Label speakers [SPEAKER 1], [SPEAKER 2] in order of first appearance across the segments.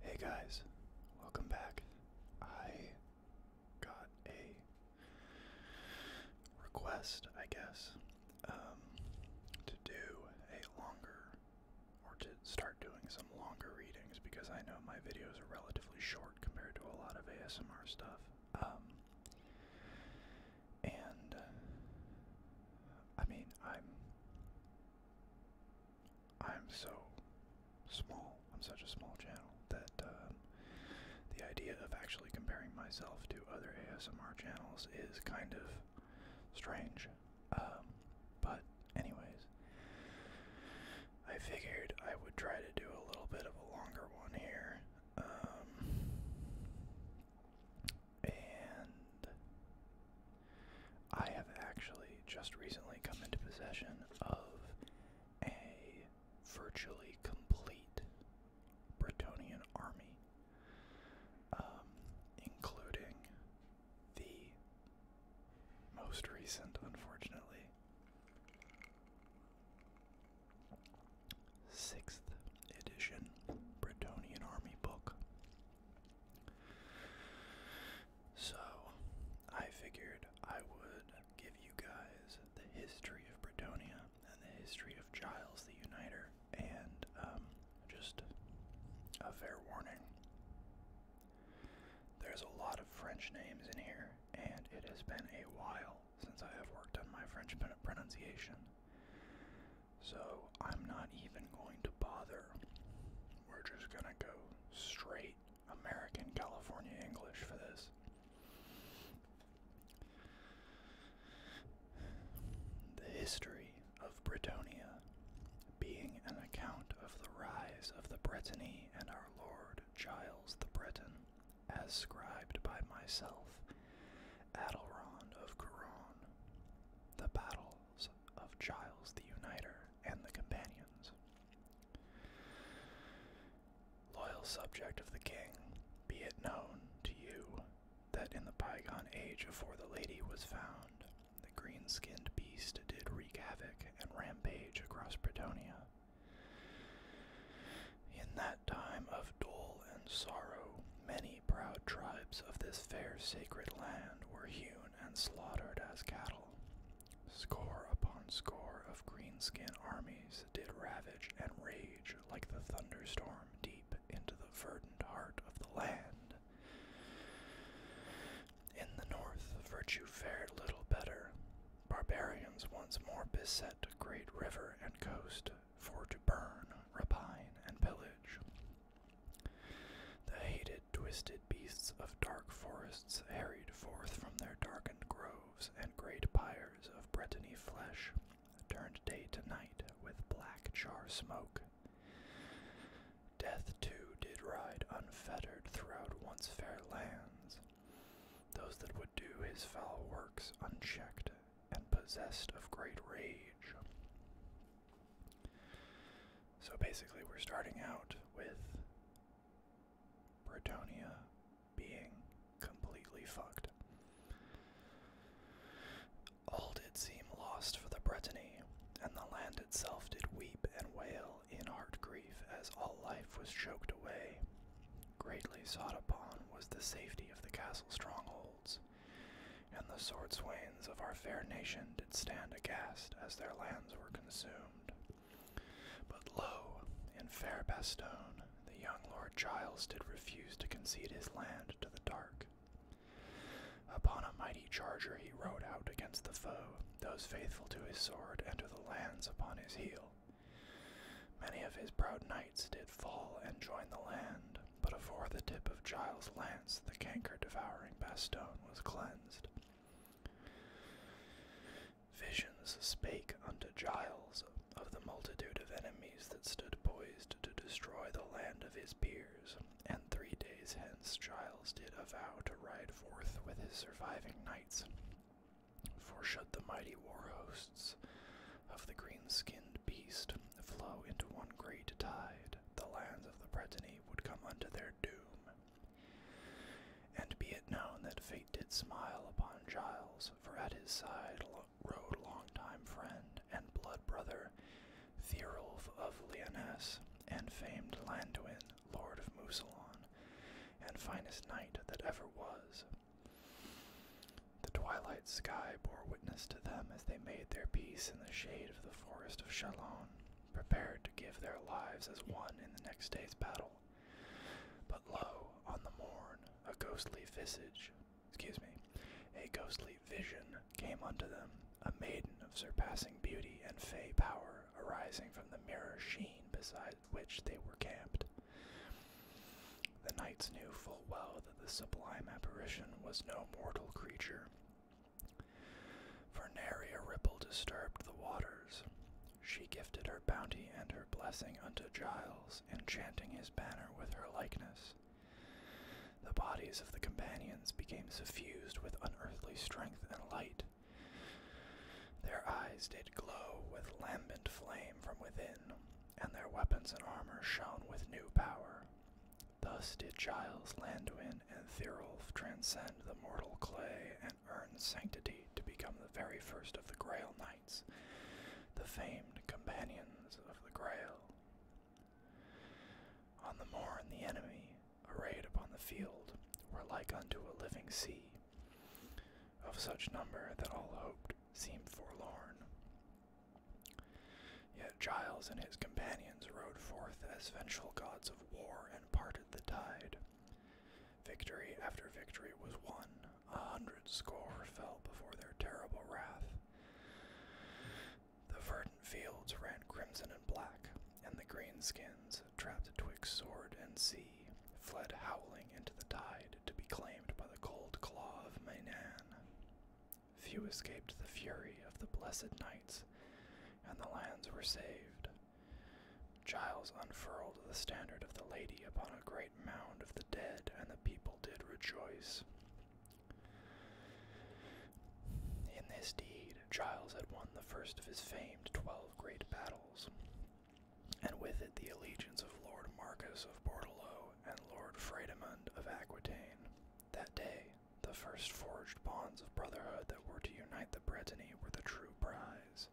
[SPEAKER 1] Hey guys, welcome back. I got a request, I guess, um, to do a longer, or to start doing some longer readings because I know my videos are relatively short compared to a lot of ASMR stuff. Um, and I mean, I'm I'm so small, I'm such a small channel that uh, the idea of actually comparing myself to other ASMR channels is kind of strange. Um, but, anyways, I figured I would try to do a little bit of a longer one here. Um, and I have actually just recently come into possession of a virtually complete Bretonian army, um, including the most recent, unfortunately, sixth edition Bretonian army book. So, I figured I would give you guys the history of Brittany and the history of Giles the Uniter, and um, just a fair warning. There's a lot of French names in here, and it has been a while since I have worked on my French pronunciation. So I'm not even going to bother. We're just going to go straight American California English for this. The history of Britannia, being an account of the rise of the Brittany and our Lord Giles the Breton, as scribed by myself, Adelron of Couron, the battles of Giles the Uniter and the companions. Loyal subject of the king, be it known to you that in the bygone age afore the lady was found, the green skinned beast did wreak havoc and rampage across Bretonia. In that time of dole and sorrow, many proud tribes of this fair sacred land were hewn and slaughtered as cattle. Score upon score of greenskin armies did ravage and rage like the thunderstorm deep into the verdant heart of the land. In the north, virtue fared little better. Barbarians once more beset great river and coast for to burn, rapine, and pillage. The hated, twisted beasts of dark forests harried forth from their darkened groves, and great pyres of Brittany flesh turned day to night with black char smoke. Death, too, did ride unfettered throughout once fair lands. Those that would do his foul works unchecked and possessed of great rage. So basically, we're starting out with Bretonia being completely fucked. All did seem lost for the Brittany, and the land itself did weep and wail in heart grief as all life was choked away. Greatly sought upon was the safety of the castle stronghold. And the sword swains of our fair nation did stand aghast as their lands were consumed. But lo, in fair Bastone, the young Lord Giles did refuse to concede his land to the dark. Upon a mighty charger he rode out against the foe, those faithful to his sword and the lands upon his heel. Many of his proud knights did fall and join the land, but afore the tip of Giles' lance the canker devouring Bastone was cleansed. Visions spake unto Giles of the multitude of enemies that stood poised to destroy the land of his peers, and three days hence Giles did avow to ride forth with his surviving knights. For should the mighty war hosts of the green skinned beast flow into one great tide, the lands of the Bretony would come unto their doom. And be it known that fate did smile upon Giles, for at his side rode long-time friend and blood brother Thirolf of Lyonesse, and famed Landuin, lord of Musalon, and finest knight that ever was. The twilight sky bore witness to them as they made their peace in the shade the forest of Chalon, prepared to give their lives as one in the next day's battle. But lo, on the morn, a ghostly visage, excuse me, a ghostly vision came unto them, a maiden of surpassing beauty and fay power arising from the mirror sheen beside which they were camped. The knights knew full well that the sublime apparition was no mortal creature, for nary a ripple disturbed the waters. She gifted her bounty and her blessing unto Giles, enchanting his banner with her likeness. The bodies of the companions became suffused with unearthly strength and light. Their eyes did glow with lambent flame from within, and their weapons and armor shone with new power. Thus did Giles, Landwin and Thirolf transcend the mortal clay and earn sanctity to become the very first of the Grail Knights, the famed companions of the Grail. On the morn, the enemy, arrayed upon the field, were like unto a living sea, of such number that all hoped seemed forlorn. Yet Giles and his companions rode forth as vengeful gods of war and parted the tide. Victory after victory was won, a hundred score fell before their terrible wrath. The verdant fields ran crimson and black, and the greenskins, trapped twixt sword and sea, fled howling into the tide to be claimed by the cold claw of Mainan. Few escaped the fury of the blessed knights, and the lands were saved. Giles unfurled the standard of the lady upon a great mound of the dead, and the people did rejoice. In this deed, Giles had won the first of his famed twelve great battles, and with it the allegiance of Lord Marcus of Bordello and Lord Fredimund of Aquitaine. That day, the first forged bonds of brotherhood that were to unite the Brittany were the true prize.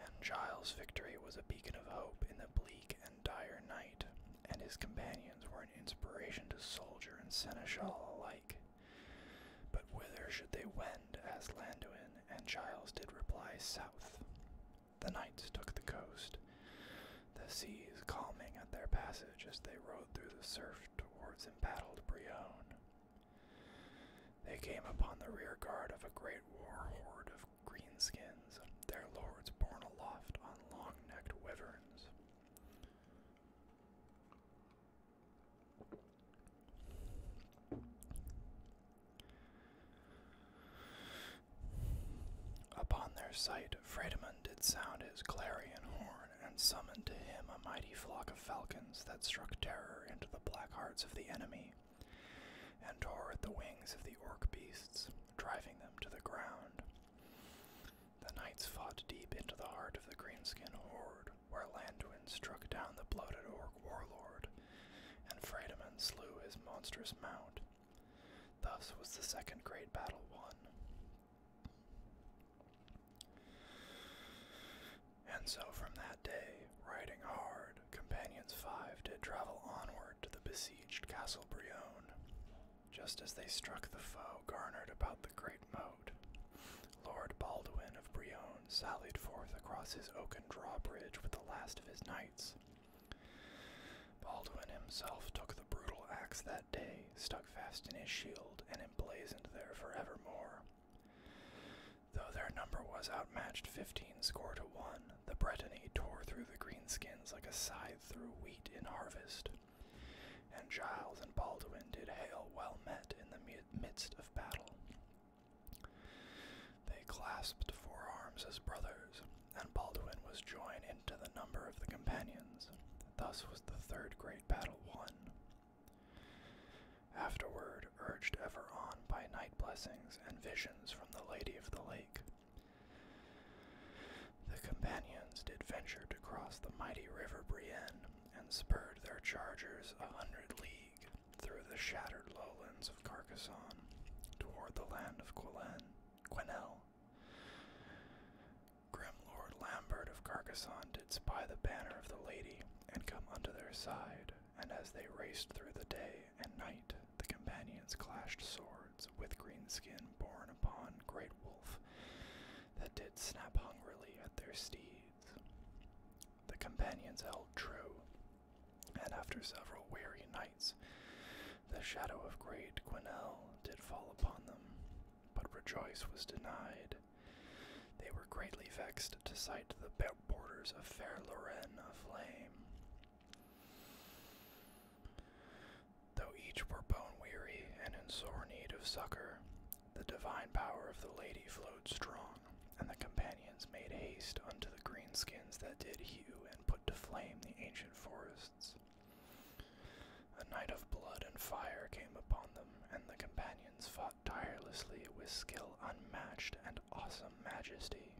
[SPEAKER 1] And Giles' victory was a beacon of hope in the bleak and dire night, and his companions were an inspiration to soldier and seneschal alike. But whither should they wend? asked Landuin, and Giles did reply south. The knights took the coast, the seas calming at their passage as they rode through the surf towards embattled Brion. They came upon the rear guard of a great war horde of greenskins, their lords borne aloft on long necked wyverns. Upon their sight, Fredimund did sound his clarion horn and summoned to him a mighty flock of falcons that struck terror into the black hearts of the enemy and tore at the wings of the orc beasts, driving them to the ground. The knights fought deep into the heart of the greenskin horde, where Landuin struck down the bloated orc warlord, and Fredimund slew his monstrous mount, Thus was the second great battle won. And so from that day, riding hard, companions five did travel onward to the besieged Castle Brion. Just as they struck the foe garnered about the great moat, Lord Baldwin of Brion sallied forth across his oaken drawbridge with the last of his knights, Baldwin himself took the brutal axe that day, stuck fast in his shield, and emblazoned there forevermore. Though their number was outmatched fifteen score to one, the Bretonny tore through the greenskins like a scythe through wheat in harvest, and Giles and Baldwin did hail well met in the midst of battle. They clasped forearms as brothers, and Baldwin was joined into the number of the companions. Thus was the third great battle won. Afterward, urged ever on by night blessings and visions from the Lady of the Lake, the companions did venture to cross the mighty river Brienne and spurred their chargers a hundred league through the shattered lowlands of Carcassonne toward the land of Quillen, Quenelle. Grim Lord Lambert of Carcassonne did spy the banner of the lady and come unto their side, and as they raced through the day and night, the companions clashed swords with green skin borne upon Great Wolf that did snap hungrily at their steeds. The companions held true, and after several weary nights, the shadow of great Gwenel did fall upon them, but rejoice was denied. They were greatly vexed to sight the borders of fair Lorraine aflame. Though each were bone weary and in sore need of succor, the divine power of the lady flowed strong, and the companions made haste unto the greenskins that did hew and put to flame the ancient forest. A night of blood and fire came upon them, and the companions fought tirelessly with skill unmatched and awesome majesty.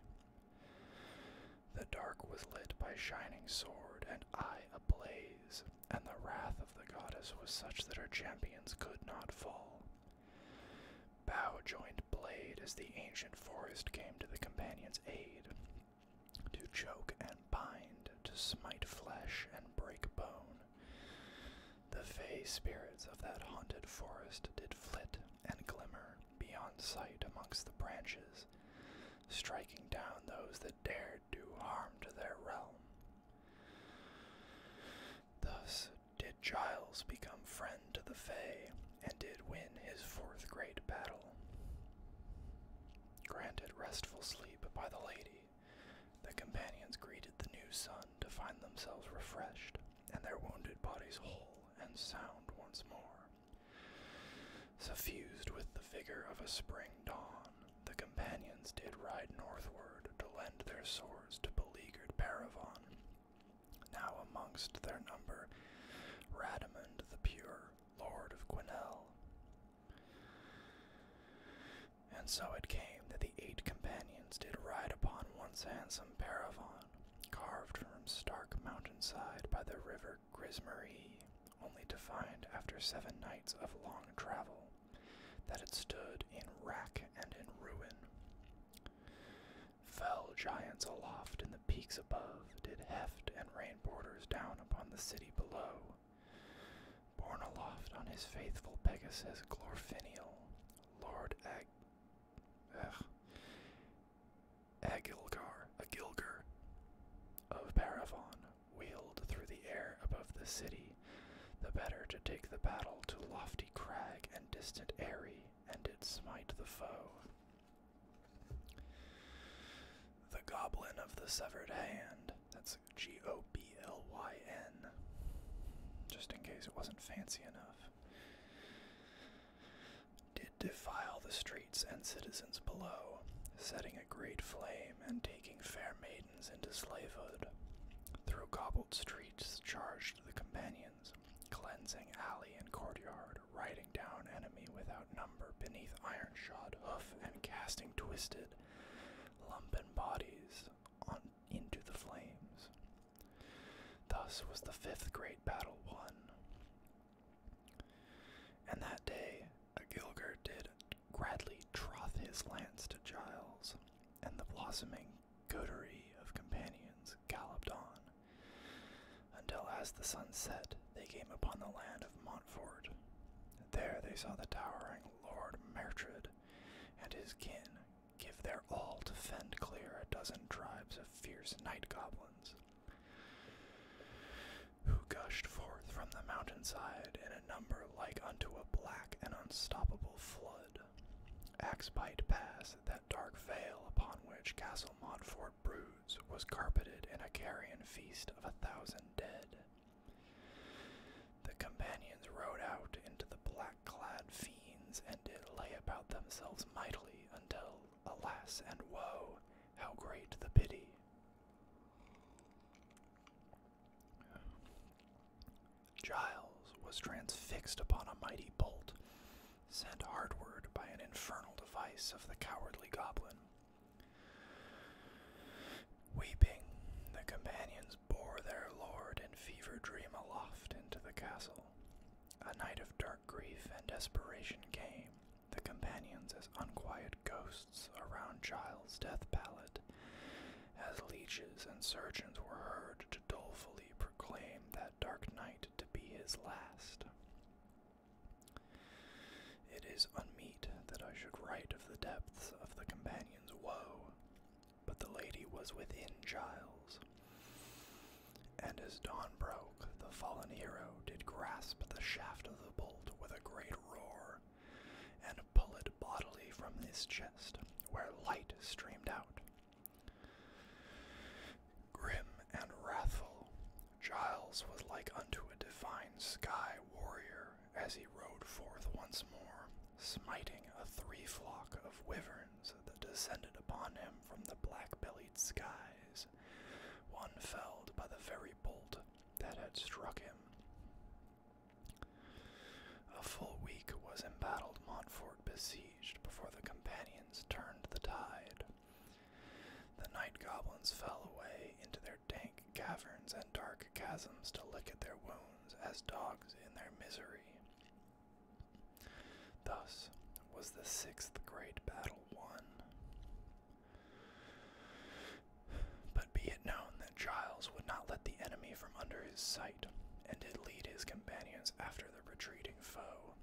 [SPEAKER 1] The dark was lit by shining sword and eye ablaze, and the wrath of the goddess was such that her champions could not fall. Bow joined blade as the ancient forest came to the companions' aid, to choke and bind, to smite flesh and break bone. The fey spirits of that haunted forest did flit and glimmer beyond sight amongst the branches, striking down those that dared do harm to their realm. Thus did Giles become friend to the Fey, and did win his fourth great battle. Granted restful sleep by the lady, the companions greeted the new sun to find themselves refreshed and their wounded bodies whole and sound once more. Suffused with the vigor of a spring dawn, the companions did ride northward to lend their swords to beleaguered Paravon, now amongst their number, Radamund the Pure, Lord of Gwenel. And so it came that the eight companions did ride upon once handsome paravon, carved from stark mountainside by the river Grismarie, only to find, after seven nights of long travel, that it stood in rack and in ruin. Fell giants aloft in the peaks above did heft and rain borders down upon the city below. Borne aloft on his faithful Pegasus Glorfiniel, Lord Agilgar, a Agilgar, of Paravon, wheeled through the air above the city, the better to take the battle to lofty crag and distant eyrie, and did smite the foe. The Goblin of the Severed Hand. That's G O B L Y N. Just in case it wasn't fancy enough. Did defile the streets and citizens below, setting a great flame and taking fair maidens into slavehood. Through cobbled streets charged the companions, cleansing alley and courtyard riding down enemy without number beneath iron shod hoof and casting twisted, lumpen bodies on into the flames. Thus was the fifth great battle won. And that day a did gladly troth his lance to Giles, and the blossoming coterie of companions galloped on, until as the sun set they came upon the land of Montfort. There they saw the towering Lord Mertred and his kin give their all to fend clear a dozen tribes of fierce night goblins, who gushed forth from the mountainside in a number like unto a black and unstoppable flood. axe bite Pass, that dark vale upon which Castle Montfort broods, was carpeted in a carrion feast of a thousand dead. The companions rode out into the black clad fiends and did lay about themselves mightily until, alas and woe, how great the pity! Giles was transfixed upon a mighty bolt, sent hardward by an infernal device of the cowardly goblin. Weeping, the companions bore their lord in fever dream aloft into the castle. A night of dark grief and desperation came, the companions as unquiet ghosts around Giles' death pallet, as leeches and surgeons were heard to dolefully proclaim that dark night to be his last. It is unmeet that I should write of the depths of the companion's woe, but the lady was within Giles. And as dawn broke, the fallen hero did grasp the shaft of the bolt with a great roar, and pull it bodily from his chest, where light streamed out, Grim and wrathful, Giles was like unto a divine sky warrior as he rode forth once more, smiting a three flock of wyverns that descended upon him from the black bellied skies, one felled by the very bolt that had struck him. A full week was embattled Montfort besieged before the companions turned the tide. The night goblins fell away into their dank caverns and dark chasms to lick at their wounds as dogs in their misery. Thus was the sixth great battle won. But be it known that Giles would not let the enemy from under his sight, and did lead his companions after the retreating foe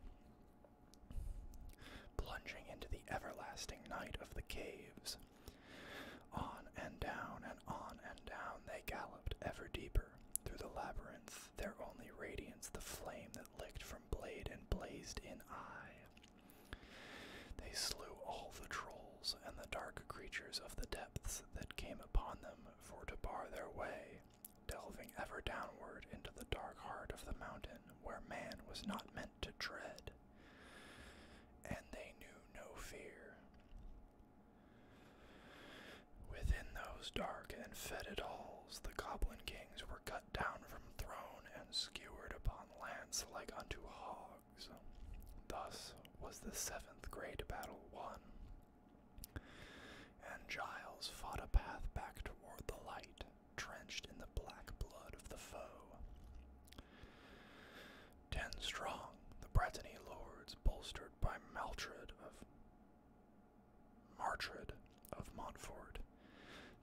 [SPEAKER 1] plunging into the everlasting night of the caves. On and down and on and down they galloped ever deeper through the labyrinth, their only radiance the flame that licked from blade and blazed in eye. They slew all the trolls and the dark creatures of the depths that came upon them for to bar their way, delving ever downward into the dark heart of the mountain where man was not meant to tread. And they knew no fear. Within those dark and fetid halls, the goblin kings were cut down from throne and skewered upon lance like unto hogs. Thus was the seventh great battle won. And Giles fought a path back toward the light, drenched in the black blood of the foe. Ten strong, the Brettany lords, bolstered by Maltred of Martred of Montfort,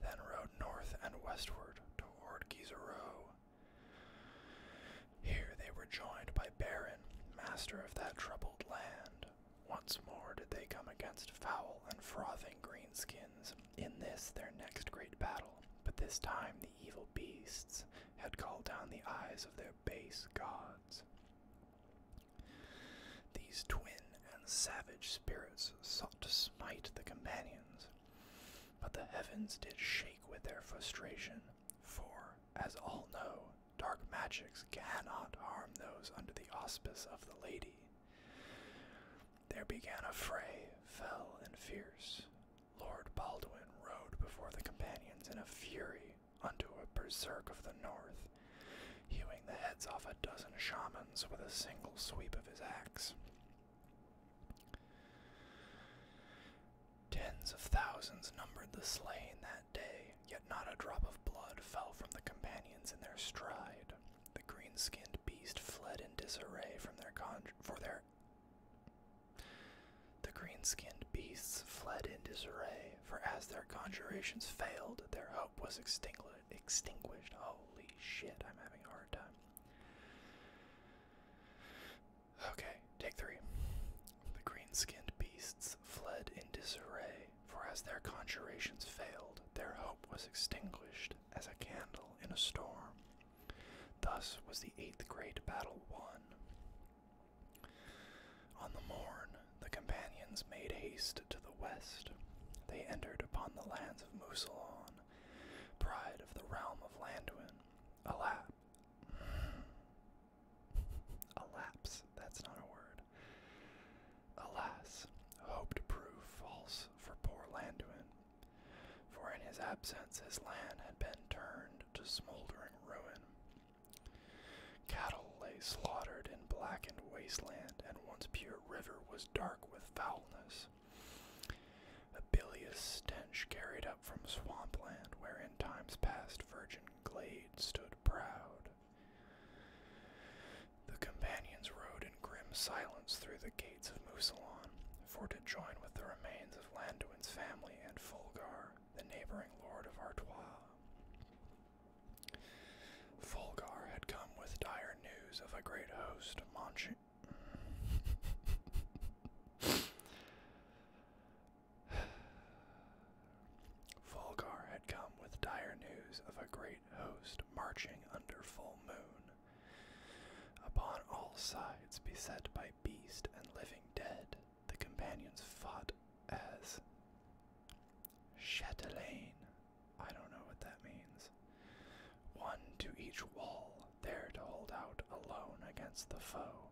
[SPEAKER 1] then rode north and westward toward Giserow. Here they were joined by Baron, master of that troubled land, once more did they come against foul and frothing greenskins in this their next great battle, but this time the evil beasts had called down the eyes of their base gods. These twin and savage spirits sought to smite the companions, but the heavens did shake with their frustration, for, as all know, Dark magics cannot harm those under the auspice of the lady. There began a fray, fell and fierce. Lord Baldwin rode before the companions in a fury unto a berserk of the north, hewing the heads off a dozen shamans with a single sweep of his axe. Tens of thousands numbered the slain that day, Yet not a drop of blood fell from the companions in their stride. The green skinned beast fled in disarray from their con for their the green skinned beasts fled in disarray, for as their conjurations failed, their hope was extinguished. Holy shit, I'm having a hard time. Okay, take three. The green skinned beasts fled in disarray, for as their conjurations failed, their hope was extinguished as a candle in a storm. Thus was the eighth great battle won. On the morn, the companions made haste to the west. They entered upon the lands of Musalon, pride of the realm of Landuin. Alap. Alapse, that's not a word. Alas, hope to prove false for poor Landuin, for in his absence his land had been turned to smoldering ruin. Cattle lay slaughtered in blackened wasteland, and once pure river was dark with foulness. A bilious stench carried up from swampland, where in times past virgin glade stood proud. The companions rode in grim silence through the gates of Musalon, for to join with the remains of Landuin's family and Fulgar, the neighboring lord of Artois. Fulgar had come with dire news of a great host marching. Volgar had come with dire news of a great host marching under full moon. Upon all sides, beset by beast and living dead, the companions fought as Chatelaine. I don't know what that means. One to each wall, there to hold out alone against the foe.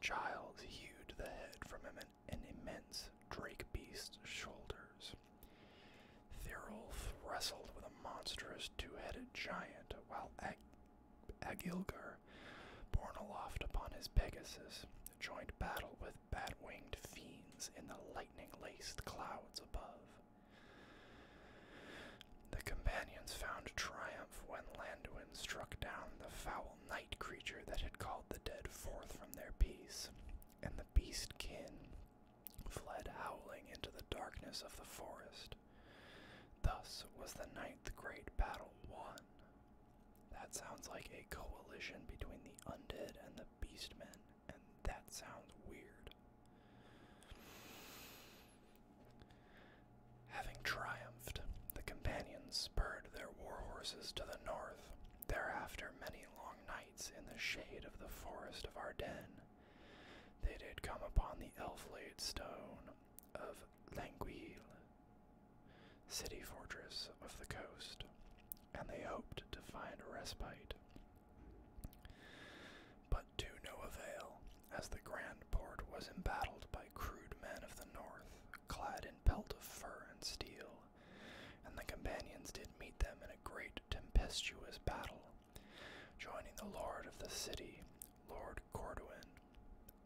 [SPEAKER 1] Giles hewed the head from him an immense drake beast's shoulders. Thirulf wrestled with a monstrous two-headed giant while Ag Agilgar, borne aloft upon his Pegasus, joined battle with bat-winged fiends in the lightning-laced clouds above. The companions found triumph when Landuin struck down the foul night creature that had called the dead forth from their peace, and the beast kin fled howling into the darkness of the forest. Thus was the ninth great battle won. That sounds like a coalition between the undead and the beastmen, and that sounds weird. Having triumphed, the companions spurred their war to the north Thereafter, many long nights in the shade of the forest of Ardennes, they did come upon the elf-laid stone of Languille, city fortress of the coast, and they hoped to find a respite. But to no avail, as the grand port was embattled by crude men of the north, clad in pelt of fur and steel, and the companions did meet them in a great tempestuous battle, joining the lord of the city, Lord Corduan.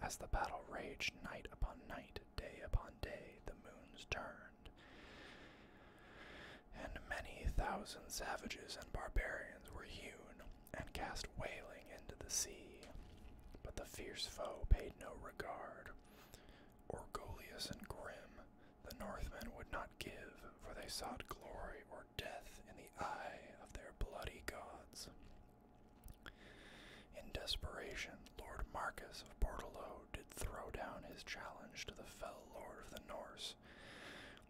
[SPEAKER 1] As the battle raged night upon night, day upon day, the moons turned, and many thousand savages and barbarians were hewn and cast wailing into the sea. But the fierce foe paid no regard, Orgolius and grim, the Northmen would not give, for they sought glory or death in the eye of their bloody gods. In desperation, Lord Marcus of Bordelot did throw down his challenge to the fell lord of the Norse,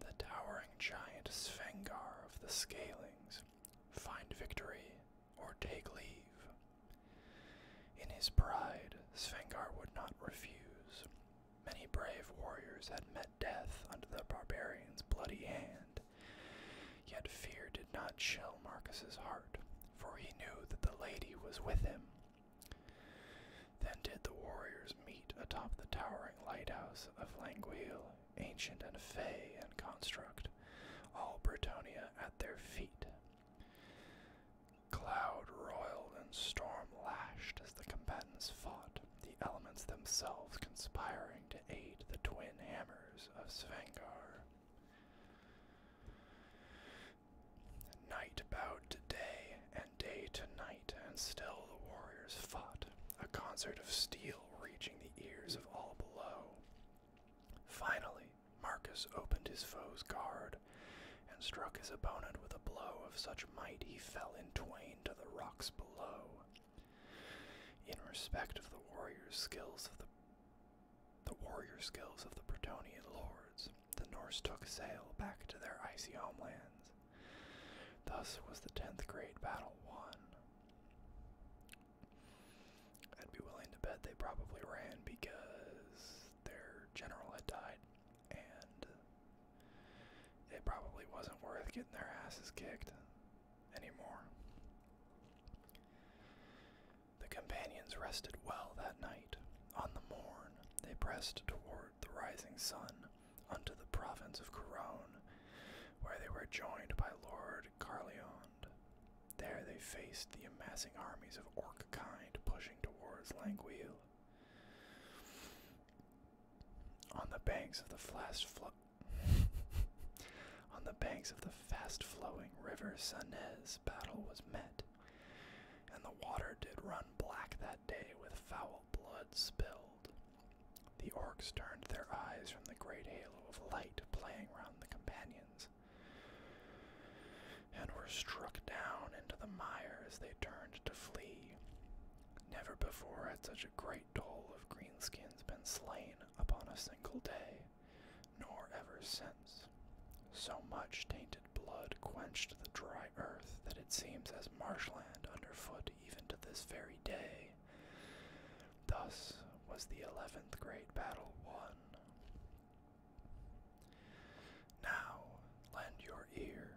[SPEAKER 1] the towering giant Svengar of the Scalings, find victory or take leave. In his pride, Svengar would not refuse. Many brave warriors had met death under the barbarian's bloody hand, yet fear did not chill Marcus's heart, for he knew that the lady was with him. Then did the warriors meet atop the towering lighthouse of Languille, ancient and fey in construct, all Bretonia at their feet, Cloud roiled and storm lashed as the combatants fought, the elements themselves conspiring to aid the twin hammers of Svengar. Night bowed to day, and day to night, and still the warriors fought, a concert of steel reaching the ears of all below. Finally, Marcus opened his foe's guard and struck his opponent with a blow of such might he fell in twain to the rocks below. In respect of the warrior skills of the the warrior skills of the Bretonian lords, the Norse took sail back to their icy homelands. Thus was the tenth great battle won. I'd be willing to bet they probably ran because their general had died, and it probably wasn't worth getting their asses kicked anymore. The companions rested well that night. On the morn, they pressed toward the rising sun unto the province of Coron, where they were joined by Lord entered There they faced the amassing armies of orc kind pushing towards Languille. On the banks of the fast on the banks of the fast-flowing river Sanez, battle was met, and the water did run black that day with foul blood spilled. The orcs turned their eyes from the great halo of light playing round the companions and were struck down into the mire as they turned to flee. Never before had such a great toll of greenskins been slain upon a single day, nor ever since. So much tainted blood quenched the dry earth that it seems as marshland underfoot even to this very day. Thus was the eleventh great battle won. Now lend your ear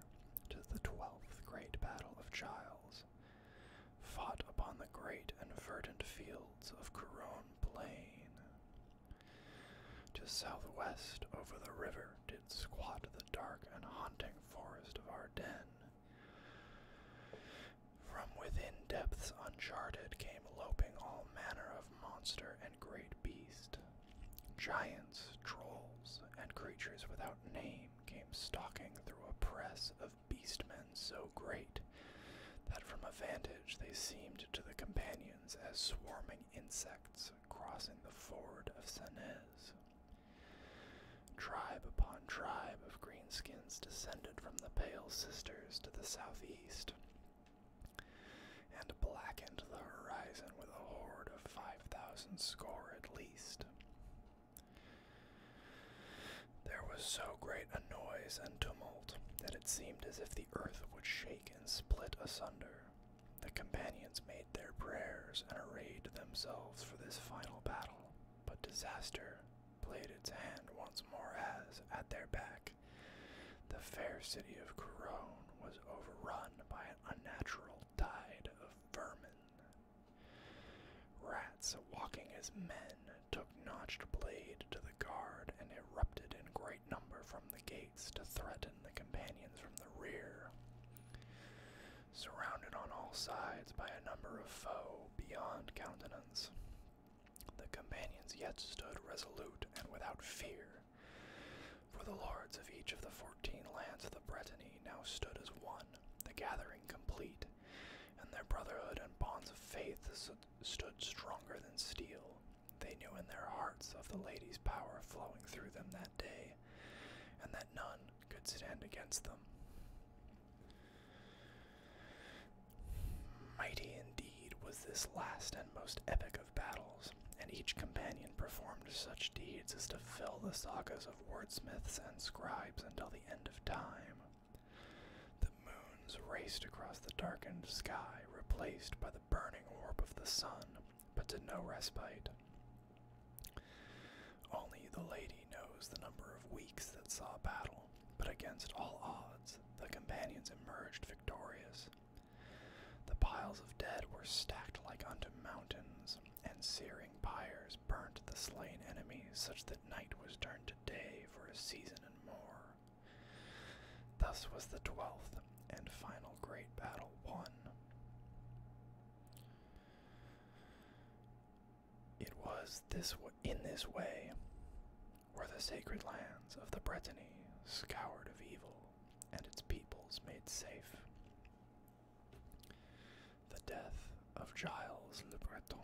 [SPEAKER 1] to the twelfth great battle of Giles, fought upon the great and verdant fields of Coron Plain. To southwest over the river did squat the dark and haunting forest of Ardennes. From within depths uncharted came loping all manner of monster and great beast. Giants, trolls, and creatures without name came stalking through a press of beastmen so great that from a vantage they seemed to the companions as swarming insects crossing the ford of Sanez. Tribe upon tribe of greenskins descended from the Pale Sisters to the southeast, and blackened the horizon with a horde of five thousand score at least. There was so great a noise and tumult that it seemed as if the earth would shake and split asunder. The companions made their prayers and arrayed themselves for this final battle, but disaster played its hand once more as, at their back, the fair city of Corone was overrun by an unnatural tide of vermin. Rats walking as men took notched blade to the guard and erupted in great number from the gates to threaten the companions from the rear. Surrounded on all sides by a number of foe beyond countenance, the companions yet stood resolute and without fear, for the lords of each of the fourteen lands of the Bretonny now stood as one, the gathering complete, and their brotherhood and bonds of faith stood stronger than steel. They knew in their hearts of the lady's power flowing through them that day, and that none could stand against them. Mighty indeed was this last and most epic of battles, and each companion performed such deeds as to fill the sagas of wordsmiths and scribes until the end of time. The moons raced across the darkened sky, replaced by the burning orb of the sun, but to no respite. Only the lady knows the number of weeks that saw battle, but against all odds, the companions emerged victorious. The piles of dead were stacked like unto mountains, and searing pyres burnt the slain enemies, such that night was turned to day for a season and more. Thus was the twelfth and final great battle won. It was this in this way were the sacred lands of the Brittany scoured of evil and its peoples made safe. The death of Giles Le Breton.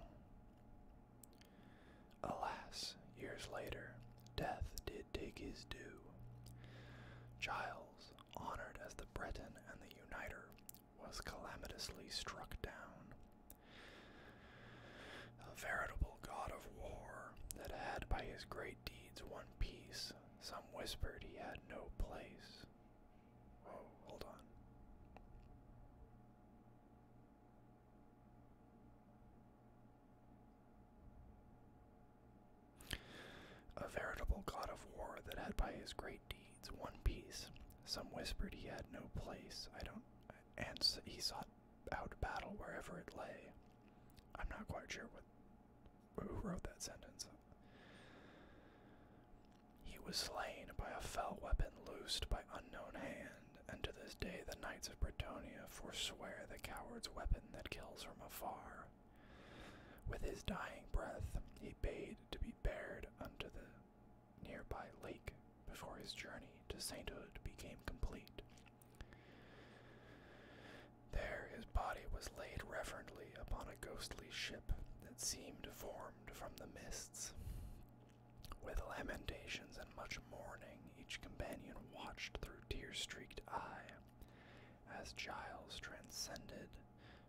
[SPEAKER 1] Alas, years later, death did take his due. Giles, honored as the Breton and the Uniter, was calamitously struck down, a veritable god of war that had by his great deeds won peace, some whispered he had no place. Whoa, hold on. A veritable god of war that had by his great deeds won peace. Some whispered he had no place. I don't and he sought out battle wherever it lay. I'm not quite sure what who wrote that sentence. He was slain by a fell weapon loosed by unknown hand, and to this day the knights of Bretonia forswear the coward's weapon that kills from afar. With his dying breath, he bade to be bared unto the nearby lake before his journey to sainthood became complete. There his body was laid reverently upon a ghostly ship that seemed formed from the mists. With lamentations and much mourning, each companion watched through tear streaked eye as Giles transcended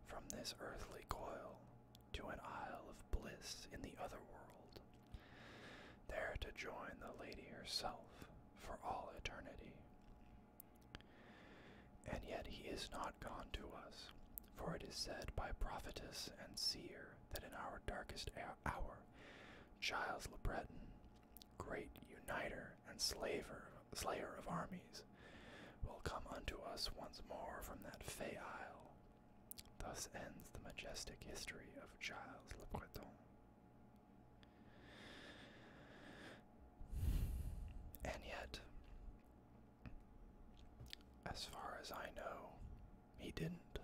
[SPEAKER 1] from this earthly coil to an isle of bliss in the other world there to join the lady herself for all eternity. And yet he is not gone to us, for it is said by prophetess and seer that in our darkest hour, Giles Le Breton, great uniter and slaver, slayer of armies, will come unto us once more from that fey isle Thus ends the majestic history of Giles Le Breton. And yet, as far as I know, he didn't.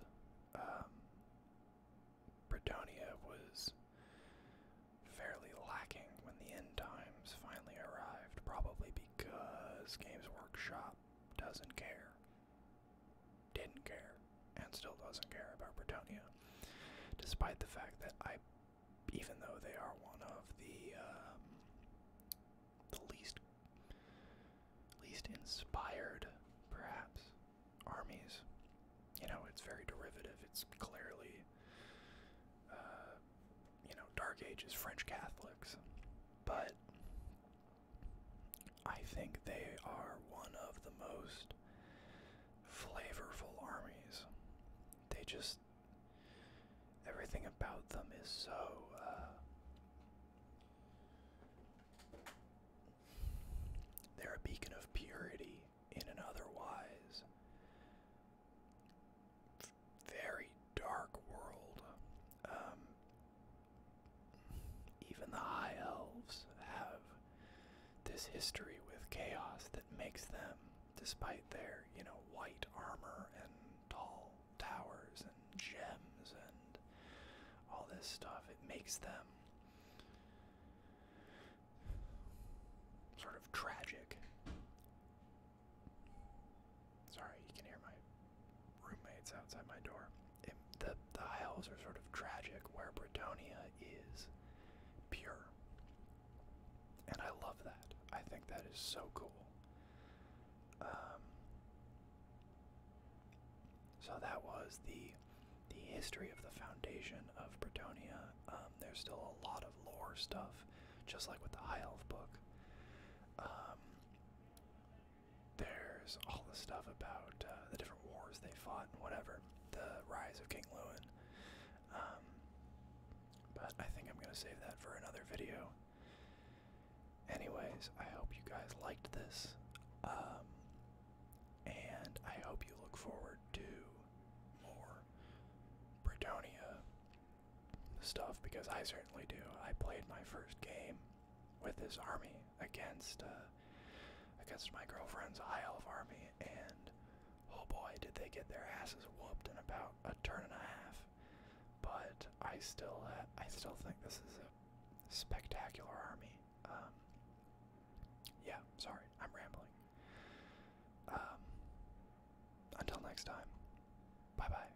[SPEAKER 1] Um, Britannia was fairly lacking when the end times finally arrived, probably because Games Workshop doesn't care didn't care and still doesn't care about Bretonia, despite the fact that I, even though they are one of the um, the least least inspired, perhaps, armies. You know, it's very derivative. It's clearly, uh, you know, Dark Ages French Catholics, but I think they are one of the most flavorful armies. They just. Everything about them is so. Uh, they're a beacon of purity in an otherwise very dark world. Um, even the High Elves have this history with chaos that makes them, despite their, you know, white armor and tall towers and gems and all this stuff, it makes them sort of tragic. Sorry, you can hear my roommates outside my door. the, the Isles are sort of tragic, where Bretonia is pure. And I love that. I think that is so cool. Um, so that was the the history of the foundation of Bretonia. Um, there's still a lot of lore stuff, just like with the Isle Elf book. Um, there's all the stuff about uh, the different wars they fought and whatever, the rise of King Lewin. Um, but I think I'm going to save that for another video. Anyways, I hope you guys liked this. Um, and I hope you look forward to more Britonia stuff because I certainly do. I played my first game with his army against uh, against my girlfriend's Isle of Army, and oh boy, did they get their asses whooped in about a turn and a half. But I still uh, I still think this is a spectacular army. Um, yeah, sorry, I'm rambling. Um, until next time, bye bye.